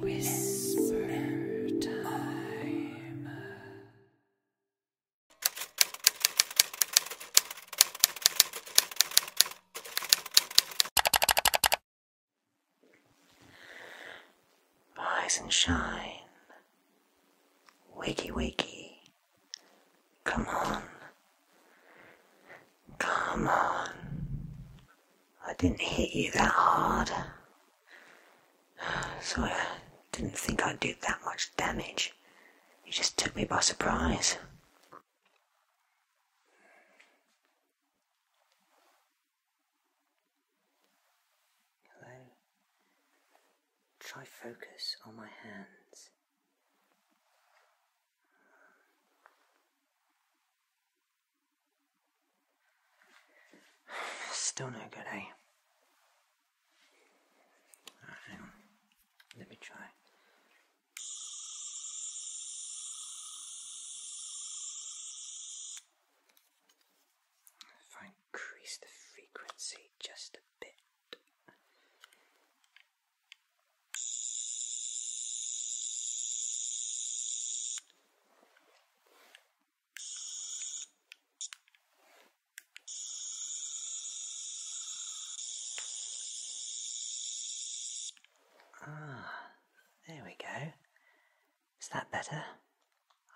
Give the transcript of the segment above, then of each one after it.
whisper time. Rise and shine. Wakey, wakey. Come on. Come on. I didn't hit you that hard. So I didn't think I'd do that much damage. You just took me by surprise try focus on my hands. Still no good, eh? Let me try. increase the frequency just a bit. Ah, there we go. Is that better?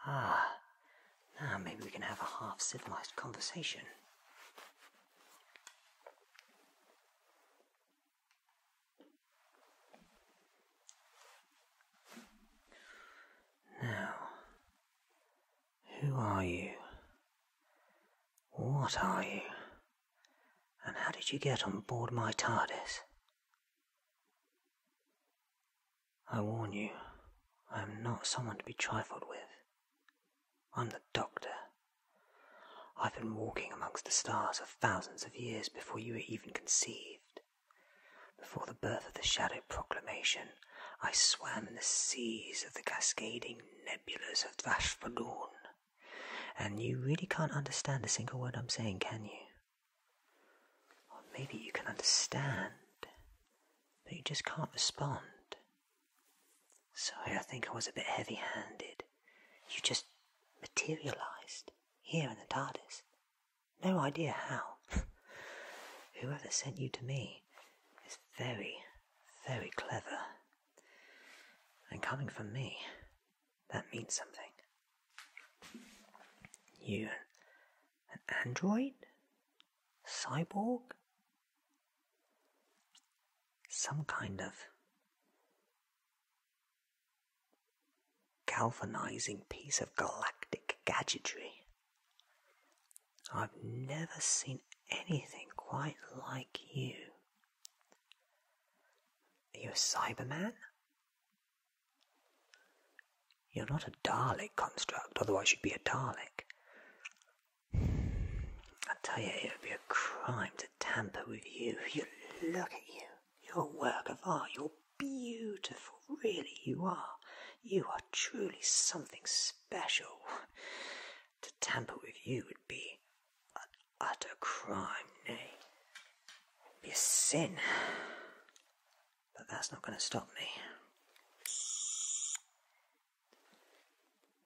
Ah, now maybe we can have a half civilized conversation. Now, who are you? What are you? And how did you get on board my TARDIS? I warn you, I am not someone to be trifled with. I'm the doctor. I've been walking amongst the stars for thousands of years before you were even conceived. Before the birth of the Shadow Proclamation, I swam in the seas of the cascading nebulas of Dvashvalun. And you really can't understand a single word I'm saying, can you? Or maybe you can understand, but you just can't respond. Sorry, I think I was a bit heavy handed. You just materialized here in the TARDIS. No idea how. Whoever sent you to me is very, very clever. And coming from me, that means something. You, an android? cyborg? Some kind of galvanizing piece of galactic gadgetry. I've never seen anything quite like you. Are you a Cyberman? You're not a Dalek construct, otherwise, you'd be a Dalek. I tell you, it would be a crime to tamper with you. You look at you. You're a work of art. You're beautiful. Really, you are. You are truly something special. To tamper with you would be an utter crime, nay, it'd be a sin. But that's not going to stop me.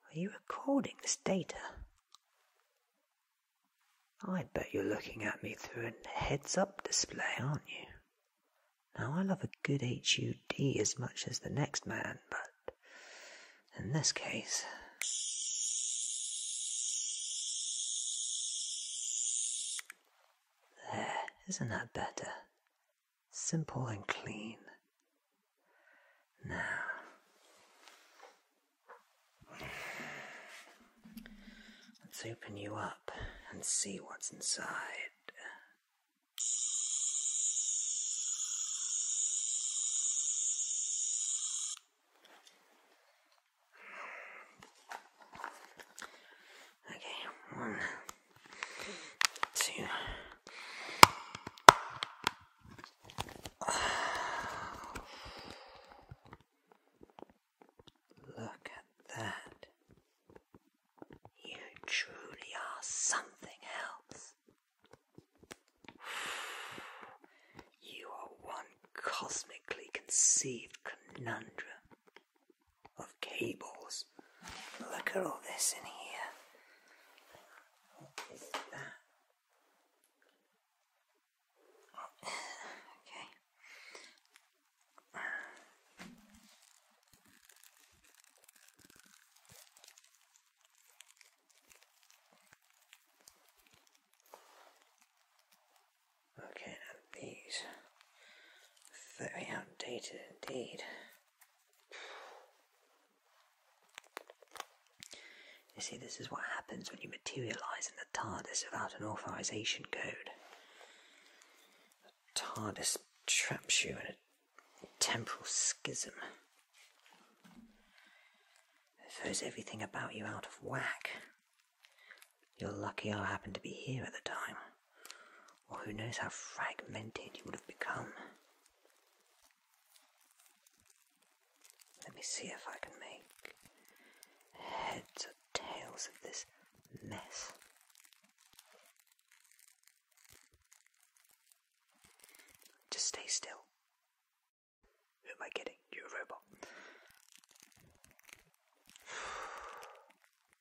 Are you recording this data? I bet you're looking at me through a heads up display, aren't you? Now, I love a good HUD as much as the next man, but in this case. There, isn't that better? simple and clean. Now, let's open you up and see what's inside. Okay, one two. Look at that. You truly are something else. You are one cosmically conceived conundrum of cables. Look at all this in here. Okay. Okay, now these very outdated indeed. You see, this is what happens when you materialize in the TARDIS without an authorization code. The TARDIS traps you in a temporal schism. It throws everything about you out of whack. You're lucky I happened to be here at the time or who knows how fragmented you would have become. Let me see if I can make heads or tails of this mess. Just stay still. Who am I kidding? You're a robot.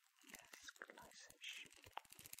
Yes, nice and shiny. Yes,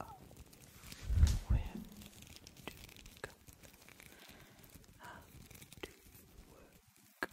Oh, where do you go? How do you work?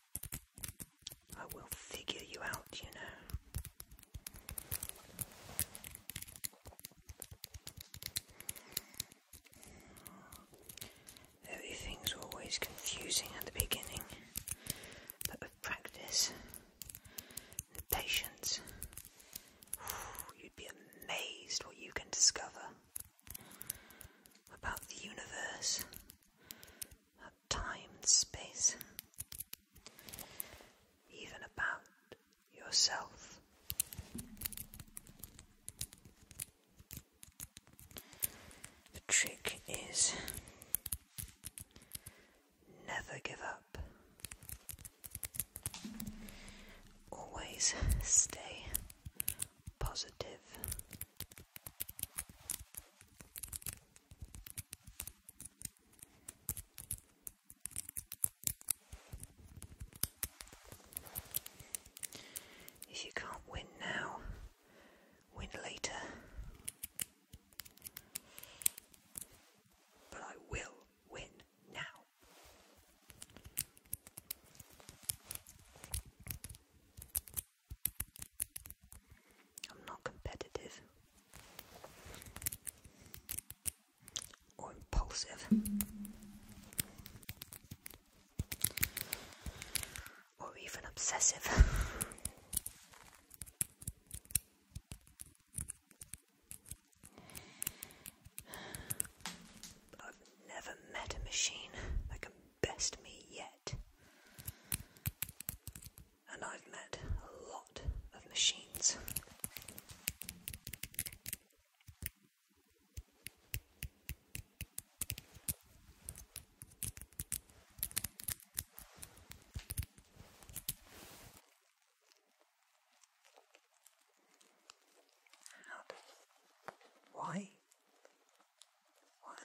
I will figure you out, you know. Everything's always confusing at the beginning, but with practice and patience, you'd be amazed what you can discover about the universe, time and space, even about yourself. The trick is never give up, always stay positive. If you can't win now, win later. But I will win now. I'm not competitive or impulsive or even obsessive. I've never met a machine that can best me yet. And I've met a lot of machines. How? Why? What?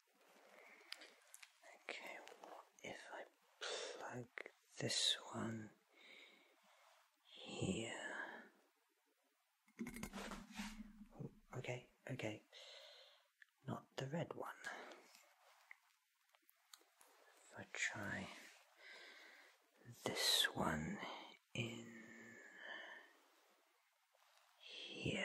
Okay, what if I plug this one here? okay, okay. Not the red one. If I try this one in here.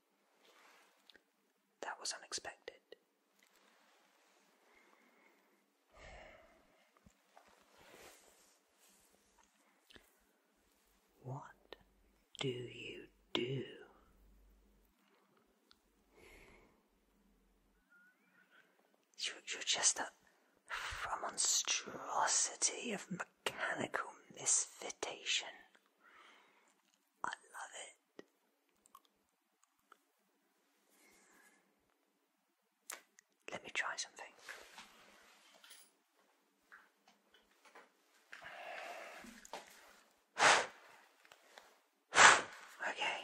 That was unexpected. What do you do? You're, just a monstrosity of mechanical misfittation. I love it. Let me try something. Okay.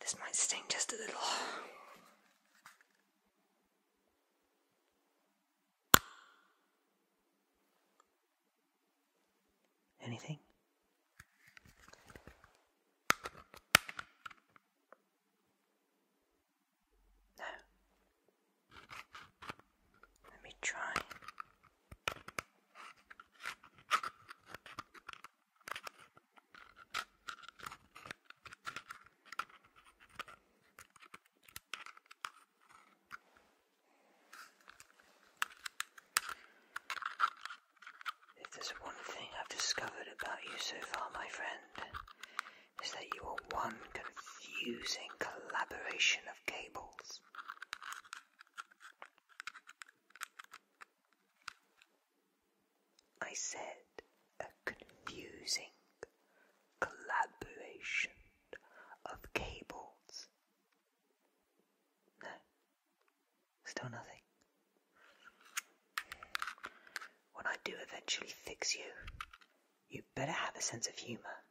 This might sting just a little. Anything? No. Let me try. If there's one thing I've discovered about you so far, my friend, is that you are one confusing collaboration of cables. I said a confusing collaboration of cables. No, still nothing. When I do eventually fix you, you better have a sense of humour.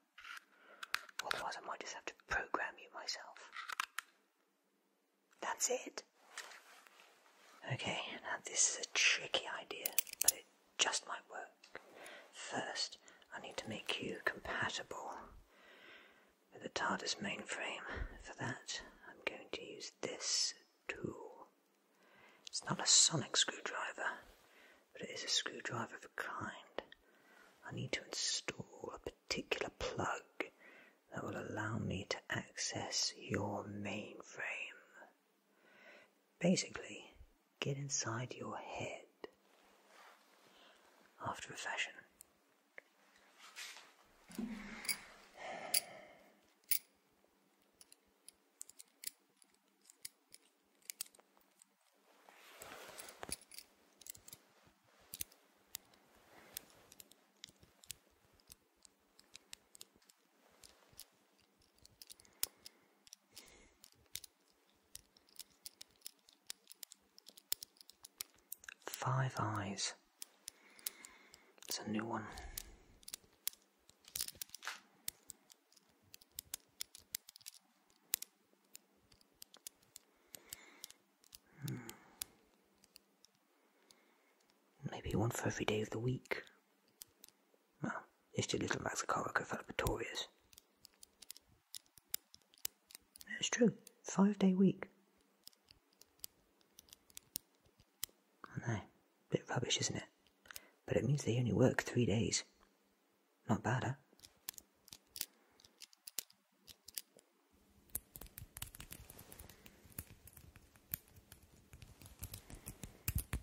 Otherwise, I might just have to program you myself. That's it. Okay, now this is a tricky idea, but it just might work. First, I need to make you compatible with the TARDIS mainframe. For that, I'm going to use this tool. It's not a sonic screwdriver, but it is a screwdriver of a kind. I need to install a particular plug that will allow me to access your mainframe. Basically, get inside your head after a fashion. Five Eyes. It's a new one. Hmm. Maybe one for every day of the week. Well, jeszcze little Max Corico fell victorious. It's true, five day week. I know, bit rubbish, isn't it? But it means they only work three days. Not bad, eh?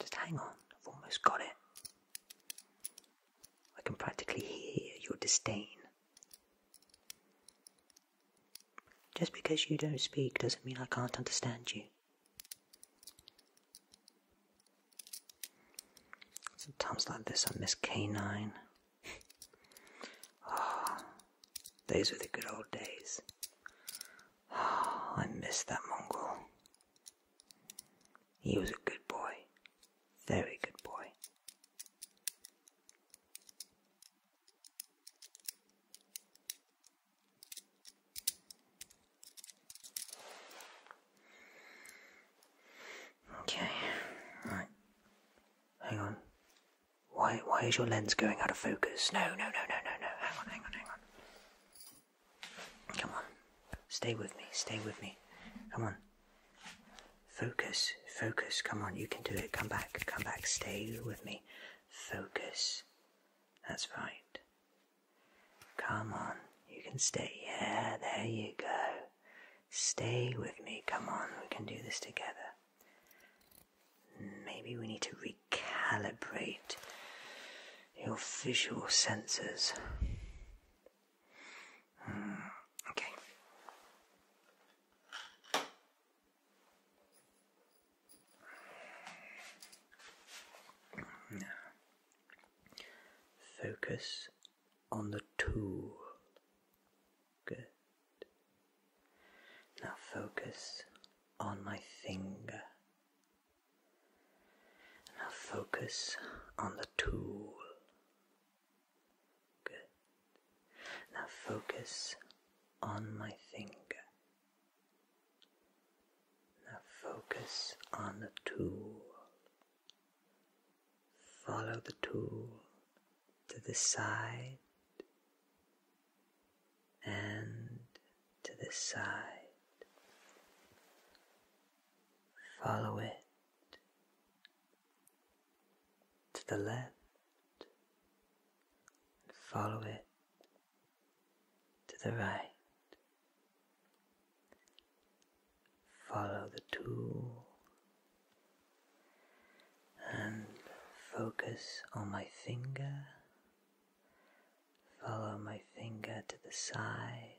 Just hang on, I've almost got it. I can practically hear your disdain. Just because you don't speak doesn't mean I can't understand you. Sometimes like this I miss K9. oh, those were the good old days. Oh, I miss that Mongol. He was a good boy. Very good boy. Okay, right. Hang on. Why why is your lens going out of focus? No, no, no, no, no, no. Hang on, hang on, hang on. Come on. Stay with me, stay with me. Come on. Focus, focus, come on, you can do it. Come back, come back, stay with me. Focus. That's right. Come on, you can stay. Yeah, there you go. Stay with me. Come on, we can do this together. Maybe we need to recalibrate your visual sensors. Hmm, okay. No. Focus on the tool. Good. Now focus on my finger. Now focus on the tool. Good. Now focus on my finger. Now focus on the tool. Follow the tool to the side and to the side. Follow it to the left and follow it to the right. Follow the tool and focus on my finger. Follow my finger to the side.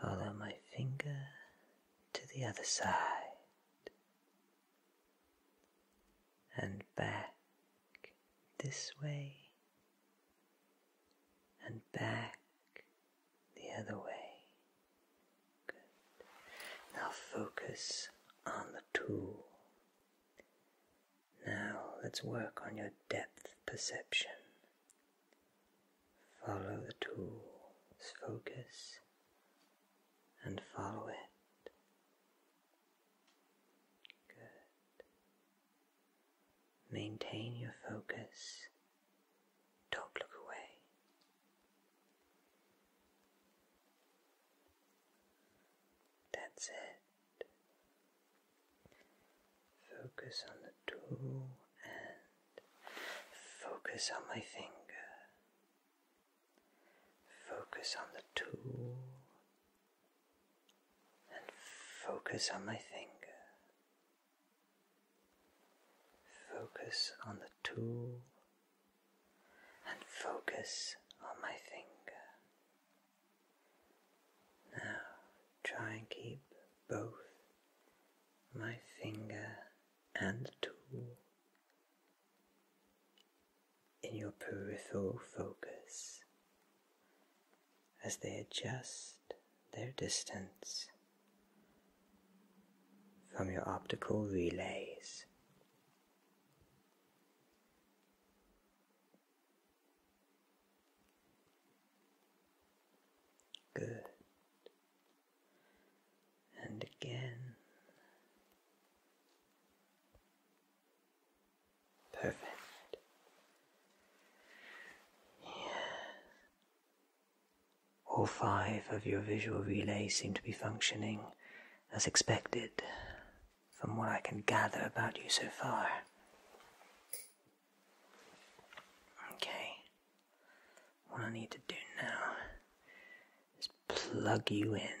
Follow my finger to the other side. And back this way and back the other way. Now focus on the tool. Now let's work on your depth perception. Follow the tool's focus and follow it. Good. Maintain your focus. Don't look away. That's it. Focus on the tool and focus on my finger. Focus on the tool and focus on my finger. Focus on the tool and focus on my finger. Now try and keep both my finger and the tool in your peripheral focus as they adjust their distance from your optical relays. Good. And again, Perfect. Yeah. All five of your visual relays seem to be functioning as expected, from what I can gather about you so far. Okay. What I need to do now is plug you in.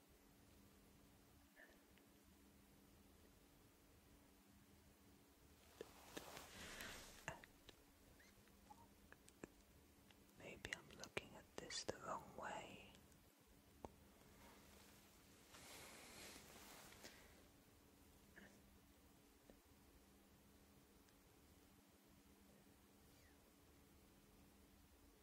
Maybe I'm looking at this the wrong way.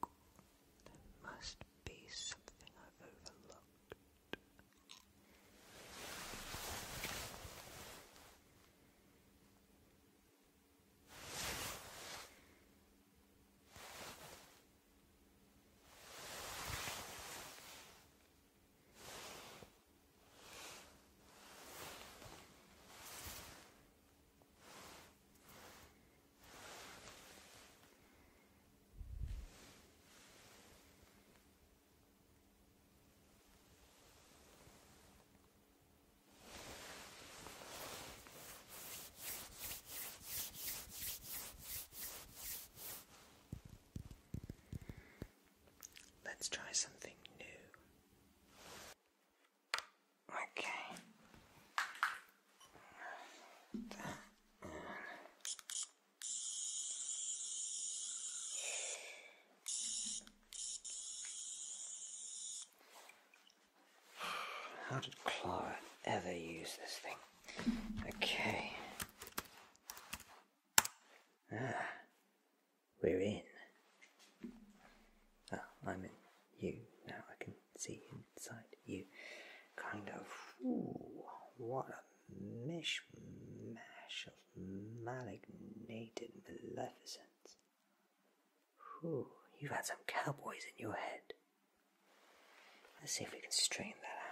There must be something I've overlooked. Let's try something new. Okay. How did Clara ever use this thing? Okay. Ah, we're in. Oh, I'm in you now. I can see inside you. Kind of, what a mishmash of malignated maleficence. Whew, you've had some cowboys in your head. Let's see if we can strain that out.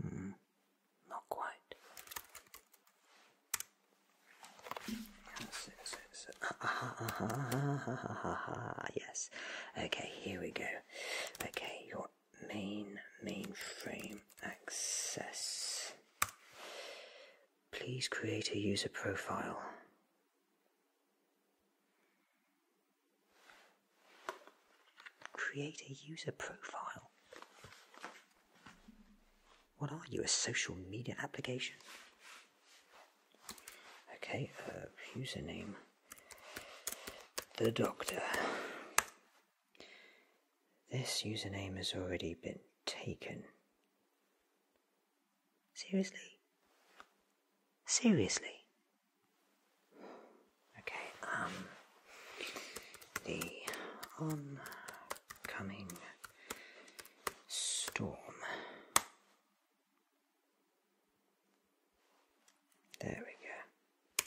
Hmm, not quite. So, so, so. Ah, ah, ah, ah, ah, ah, ah, ah, yes. Okay, here we go. Okay, your main mainframe access. Please create a user profile. Create a user profile. What are you, a social media application? Okay, uh, username. The Doctor. This username has already been taken. Seriously? Seriously? Okay, um, the oncoming storm. There we go.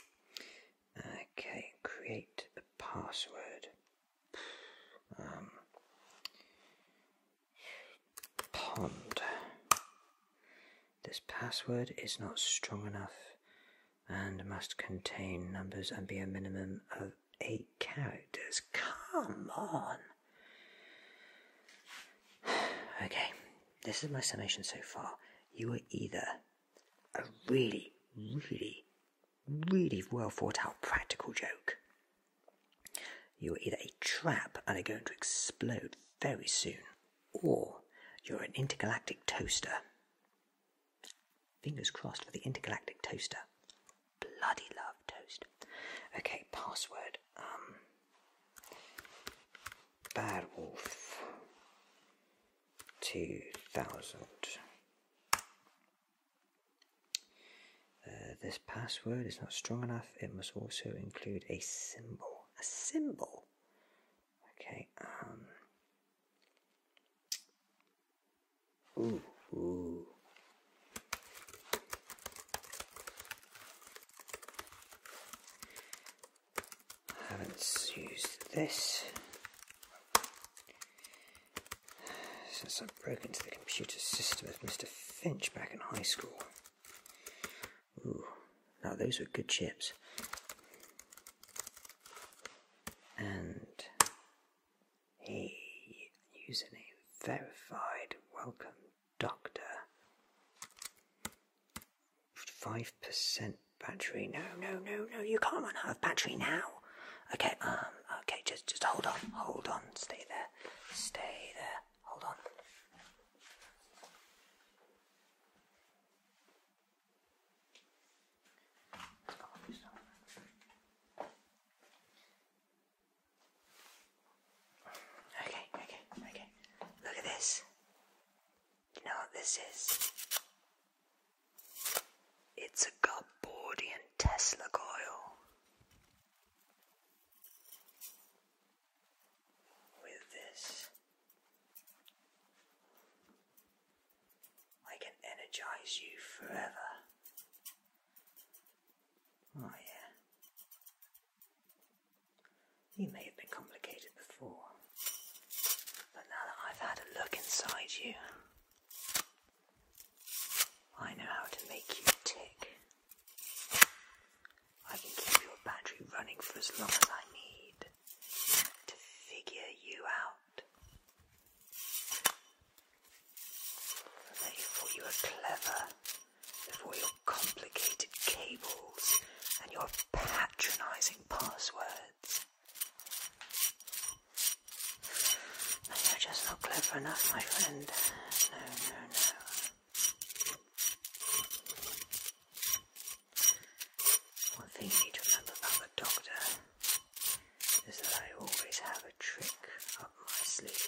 Okay, create a password. Um, pond. This password is not strong enough and must contain numbers and be a minimum of eight characters. Come on! Okay, this is my summation so far. You are either a really, really, really well thought out practical joke. You're either a trap and are going to explode very soon, or you're an intergalactic toaster. Fingers crossed for the intergalactic toaster. Bloody love toast. Okay, password. Um, bad wolf. 2000. Uh, this password is not strong enough. It must also include a symbol. A symbol? Okay, um, ooh. I haven't used this since I broke into the computer system of Mr. Finch back in high school. Ooh, now those are good chips. And a username verified. Welcome, Doctor five percent battery. No, no, no, no. You can't run out of battery now. Okay, um, okay. Just, just hold on, hold on. Stay there, stay there. Hold on. Okay, okay, okay. Look at this. You know what this is? It's a Garbordian Tesla coil with this. I can energize you forever. Oh, yeah. You may have been complicated before, but now that I've had a look inside you, I know how to make you tick. I can keep your battery running for as long as I need to figure you out. I thought you were clever before your complicated cables and your patronising passwords you're just not clever enough, my friend. No, no, no. One thing you need to remember about the doctor is that I always have a trick up my sleeve.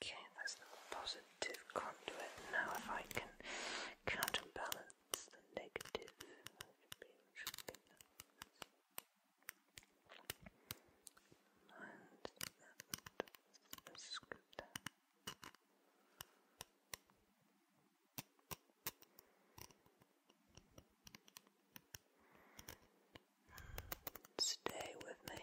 Okay, that's the positive conduit. Now, if I can counterbalance the negative, and a scooter. Stay with me.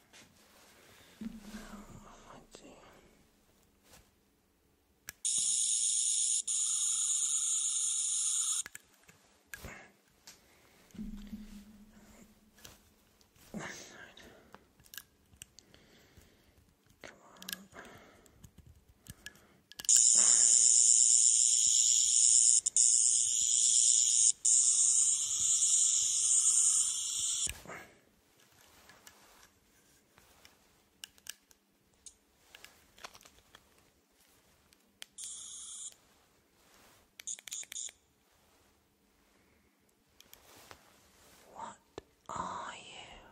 Let's see. This side. Come on. What are you?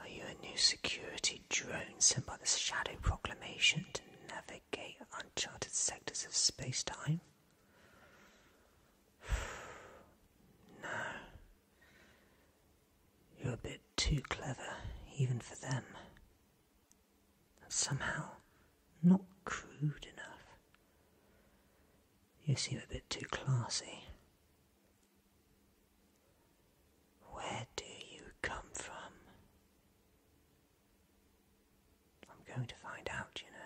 Are you a new security drone sent by the Shadow Proclamation to navigate uncharted sectors of space time? No. You're a bit too clever, even for them. And somehow, not crude enough. You seem a bit too classy. Where do you come from? I'm going to find out, you know.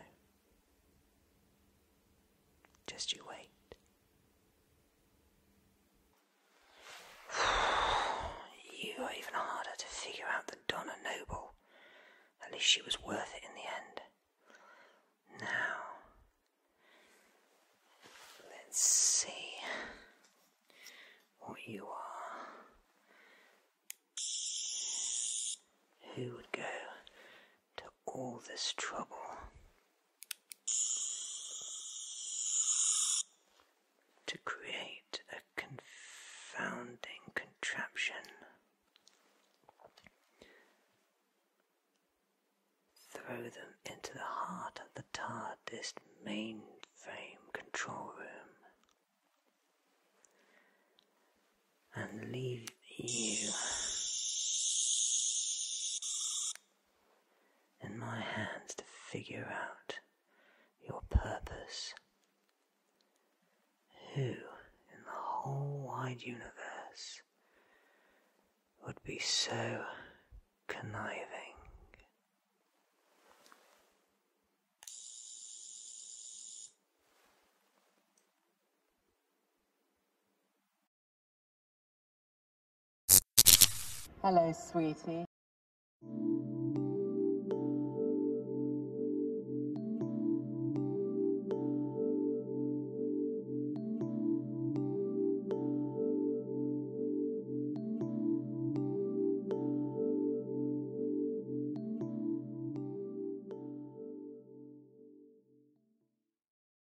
Just you wait. you are even harder to figure out than Donna Noble. At least she was worth it in the end. Now, let's see what you are. Who would go to all this trouble. To create a confounding contraption throw them into the heart of the TARDIS mainframe control room and leave you in my hands to figure out your purpose. Who in the whole wide universe would be so conniving? Hello, sweetie.